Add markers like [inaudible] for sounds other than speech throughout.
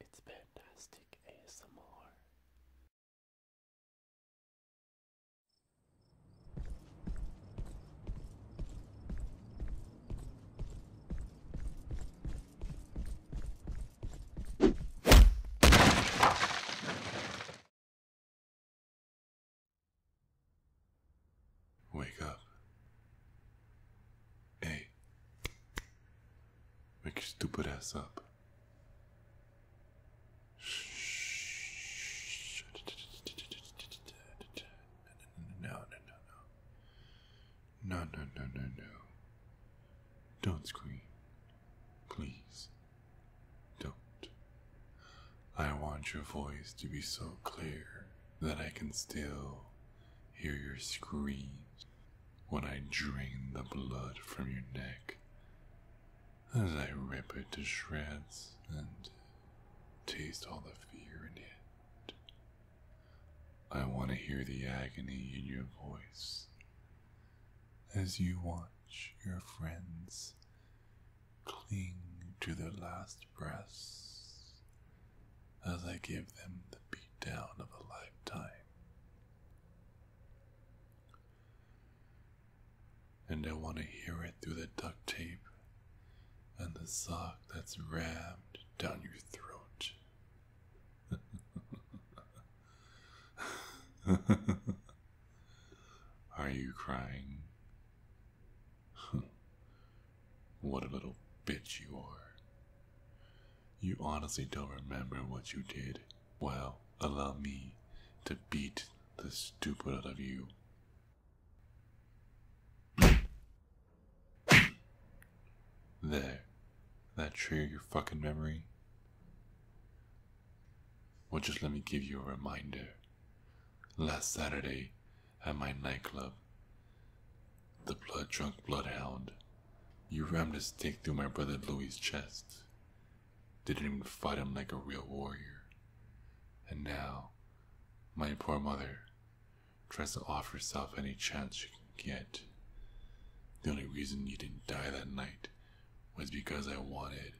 It's fantastic ASMR. Wake up. Hey. Wake your stupid ass up. Shh. No, no, no, no. No, no, no, no, no. Don't scream. Please. Don't. I want your voice to be so clear that I can still hear your screams when I drain the blood from your neck as I rip it to shreds and taste all the fear in it. I want to hear the agony in your voice as you watch your friends cling to their last breaths as I give them the beatdown of a lifetime. And I want to hear it through the duct tape and the sock that's rammed down your throat. [laughs] Are you crying? what a little bitch you are. You honestly don't remember what you did. Well, allow me to beat the stupid out of you. There. That trigger your fucking memory? Well, just let me give you a reminder last Saturday at my nightclub. The blood drunk bloodhound. You rammed a stake through my brother Louis's chest. Didn't even fight him like a real warrior. And now, my poor mother tries to offer herself any chance she can get. The only reason you didn't die that night was because I wanted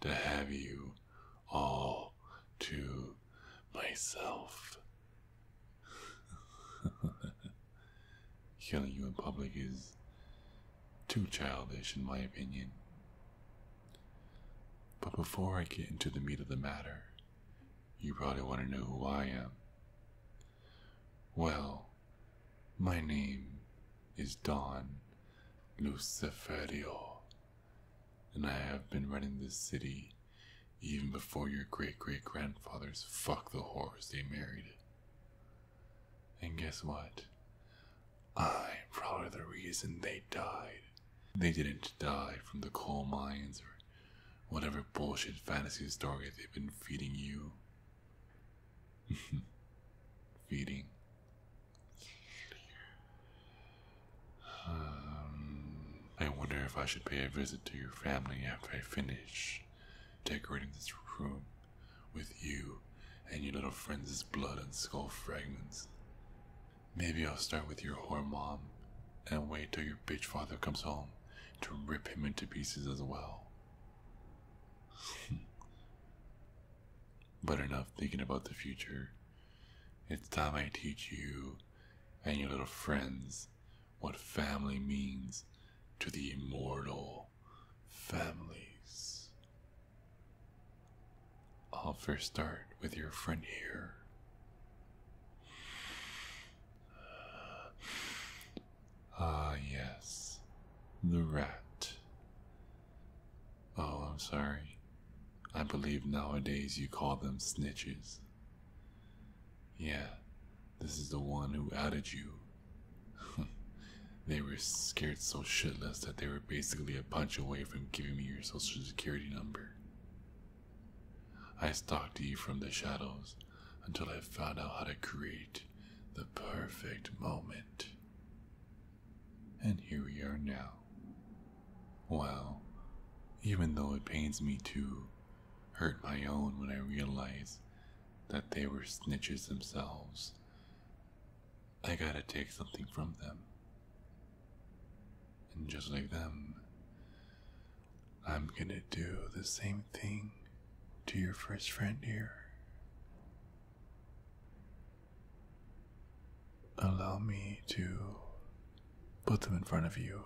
to have you all to myself. [laughs] Killing you in public is too childish, in my opinion. But before I get into the meat of the matter, you probably want to know who I am. Well, my name is Don Luciferio, and I have been running this city even before your great great grandfathers fucked the whores they married. And guess what? I'm probably the reason they died. They didn't die from the coal mines or whatever bullshit fantasy story they've been feeding you. [laughs] feeding. Um, I wonder if I should pay a visit to your family after I finish decorating this room with you and your little friends' blood and skull fragments. Maybe I'll start with your whore mom and wait till your bitch father comes home to rip him into pieces as well. [laughs] but enough thinking about the future. It's time I teach you and your little friends what family means to the immortal families. I'll first start with your friend here. Ah, yes, the rat. Oh, I'm sorry. I believe nowadays you call them snitches. Yeah, this is the one who outed you. [laughs] they were scared so shitless that they were basically a punch away from giving me your social security number. I stalked you from the shadows until I found out how to create the perfect moment. And here we are now. Well, even though it pains me to hurt my own when I realize that they were snitches themselves, I gotta take something from them. And just like them, I'm gonna do the same thing to your first friend here. Allow me to put them in front of you.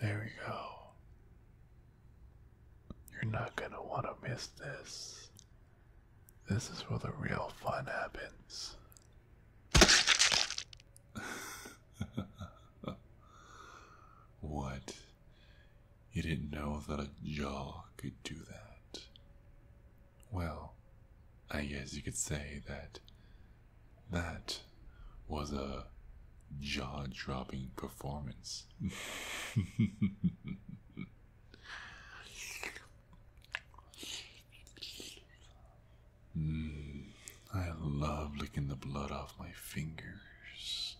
There we go. You're not gonna wanna miss this. This is where the real fun happens. [laughs] what? You didn't know that a jaw could do that? Well, I guess you could say that that was a jaw dropping performance. [laughs] Hmm, I love licking the blood off my fingers.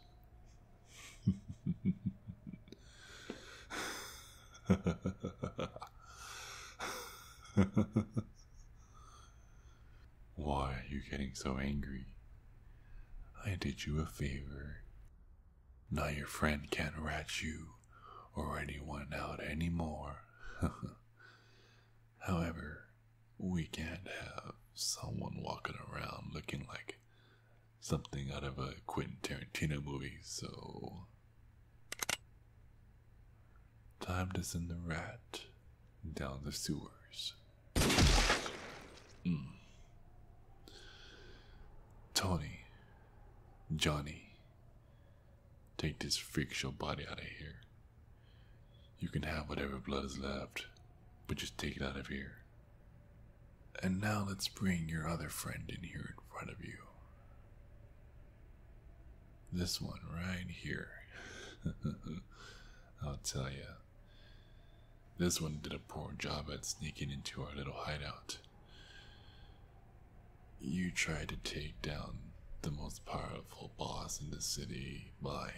Why are you getting so angry? I did you a favor. Now your friend can't rat you or anyone out any more. [laughs] However, we can't have someone walking around looking like something out of a Quentin Tarantino movie, so. Time to send the rat down the sewers. Hmm. Tony, Johnny, Take this freakish show body out of here. You can have whatever blood is left, but just take it out of here. And now let's bring your other friend in here in front of you. This one right here. [laughs] I'll tell you. This one did a poor job at sneaking into our little hideout. You tried to take down the most powerful boss in the city by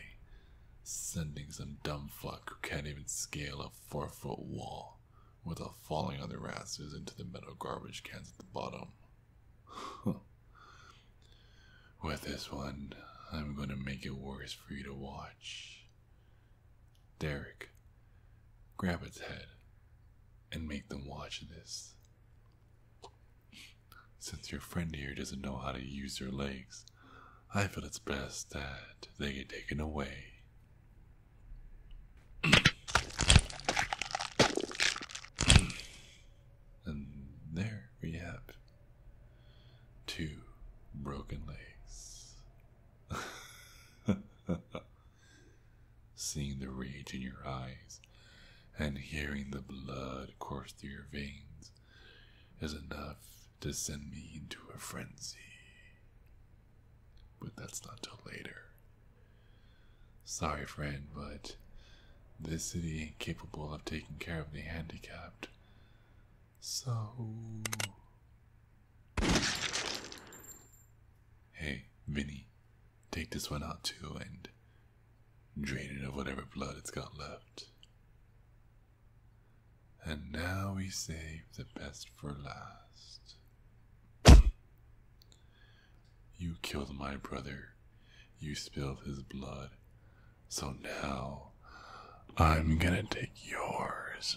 sending some dumb fuck who can't even scale a four foot wall without falling on the rafters into the metal garbage cans at the bottom. [laughs] With this one, I'm going to make it worse for you to watch. Derek, grab its head and make them watch this. Since your friend here doesn't know how to use their legs, I feel it's best that they get taken away. [clears throat] and there we have two broken legs. [laughs] seeing the rage in your eyes and hearing the blood course through your veins is enough to send me into a frenzy. But that's not till later. Sorry, friend, but this city ain't capable of taking care of the handicapped. So. Hey, Vinny, take this one out too and drain it of whatever blood it's got left. And now we save the best for last. you killed my brother. You spilled his blood. So now I'm gonna take yours.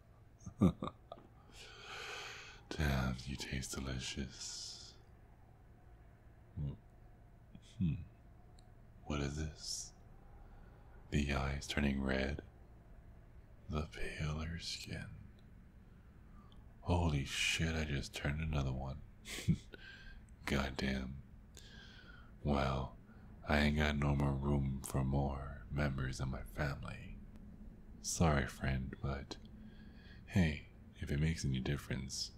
[laughs] Damn, you taste delicious. Hmm. hmm. What is this? The eyes turning red, the paler skin. Holy shit, I just turned another one. [laughs] Goddamn. Well, I ain't got no more room for more members of my family. Sorry, friend, but hey, if it makes any difference,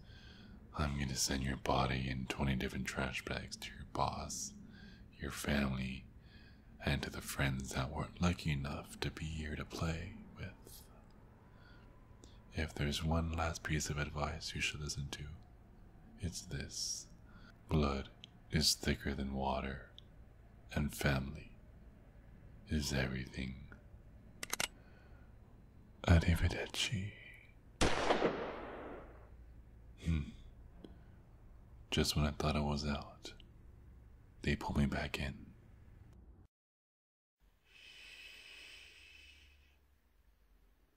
I'm gonna send your body in 20 different trash bags to your boss, your family, and to the friends that weren't lucky enough to be here to play with. If there's one last piece of advice you should listen to, it's this blood is thicker than water, and family is everything. Arrivederci. Hmm. Just when I thought I was out, they pulled me back in.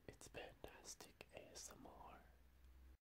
It's fantastic ASMR.